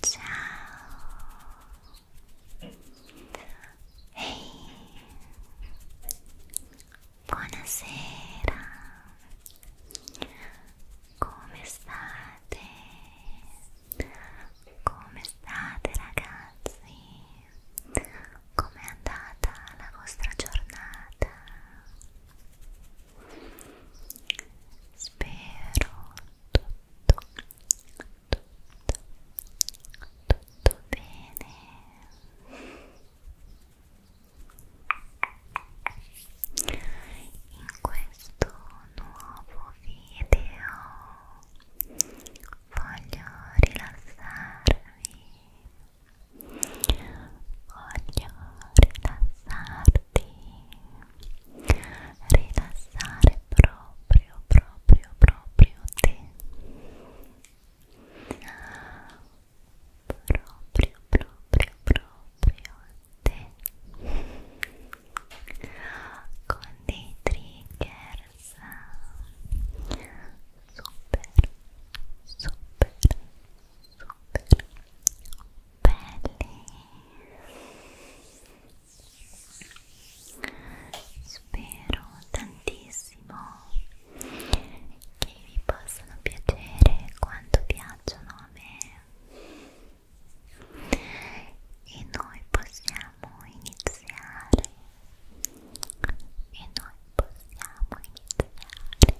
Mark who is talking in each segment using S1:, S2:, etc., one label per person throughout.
S1: Ciao. Ehi. Buonasera. Come state? Come state ragazzi? com'è andata la vostra giornata? Spero tutto, tutto, tutto bene. In questo nuovo video voglio rilassarvi voglio rilassarti rilassare proprio proprio proprio te proprio proprio proprio te con dei trigger Super, super, super belli. Spero tantissimo che vi possano piacere quanto piacciono a me. E noi possiamo iniziare iniziare e noi possiamo iniziare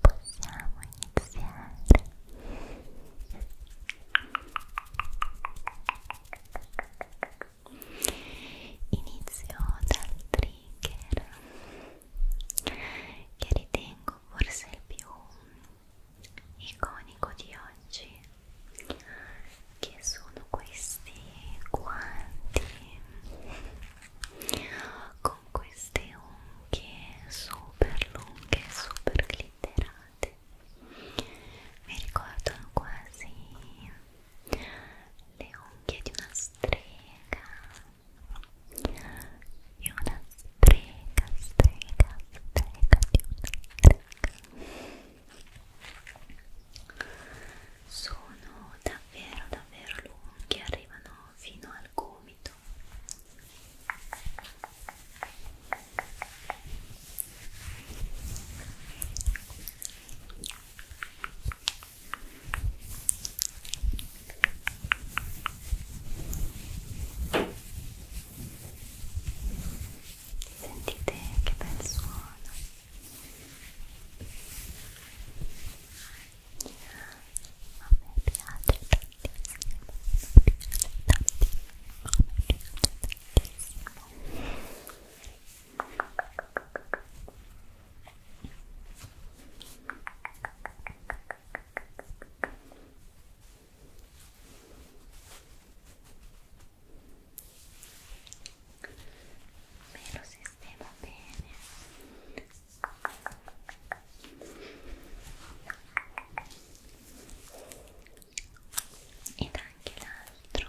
S1: possiamo iniziare inizio dal trigger che ritengo forse il più iconico di oggi che sono questi guanti con queste unghie super lunghe super glitterate mi ricordano quasi le unghie di una strega di una strega, strega, strega, di una strega sono davvero davvero lunghi arrivano fino al gomito Sentite che bel suono. A me piace tantissimo, a me piace tantissimo, a me piace tantissimo me lo sistemo bene ed anche l'altro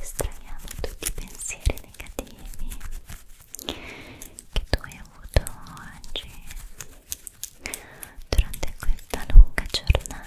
S1: estraiamo tutti i pensieri negativi che tu hai avuto oggi durante questa lunga giornata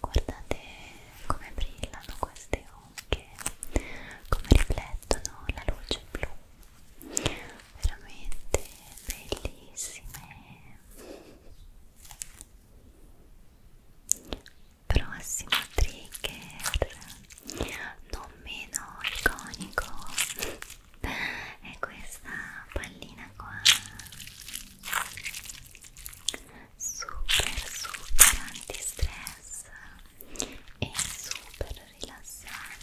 S1: guardate come brillano queste onde come riflettono la luce blu veramente bellissime prossimo trigger non meno iconico è questa pallina qua super super antistress e super rilassante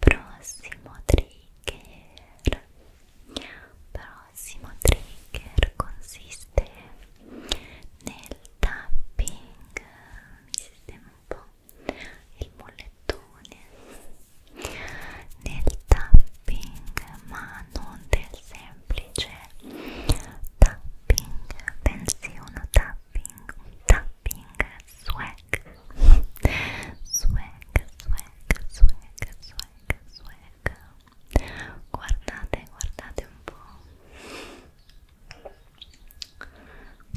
S1: Prossimo trigger. Prossimo trigger consiste nel tapping. Mi sistema un po' il mollettone nel tapping ma non del semplice tapping bensì uno tapping un tapping swag swag swag swag swag swag guardate guardate un po'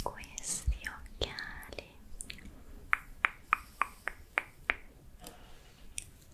S1: questi occhiali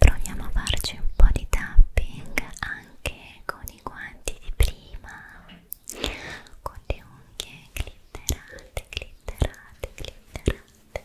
S1: Proviamo a farci un po' di tapping anche con i guanti di prima, con le unghie glitterate, glitterate, glitterate.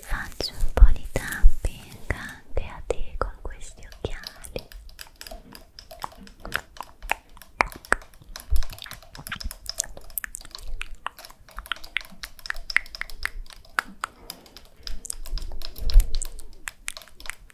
S1: Faccio un po' di tapping anche a te con questi occhiali.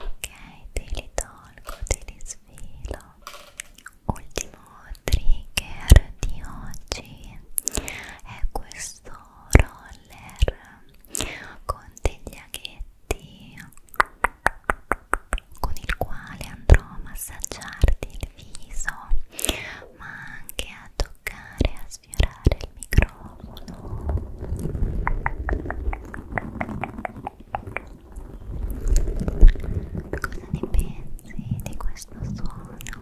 S1: Ok, te li tolgo, te li svilo. Ultimo trigger di oggi è questo roller con degli aghetti con il quale andrò a massaggiarti il viso ma anche a toccare a sfiorare il microfono cosa ne pensi di questo suono?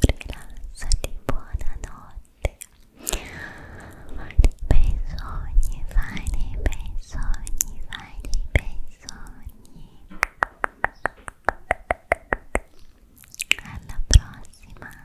S1: rilassati, buonanotte bei sogni, fai dei bei sogni, fai dei bei sogni alla prossima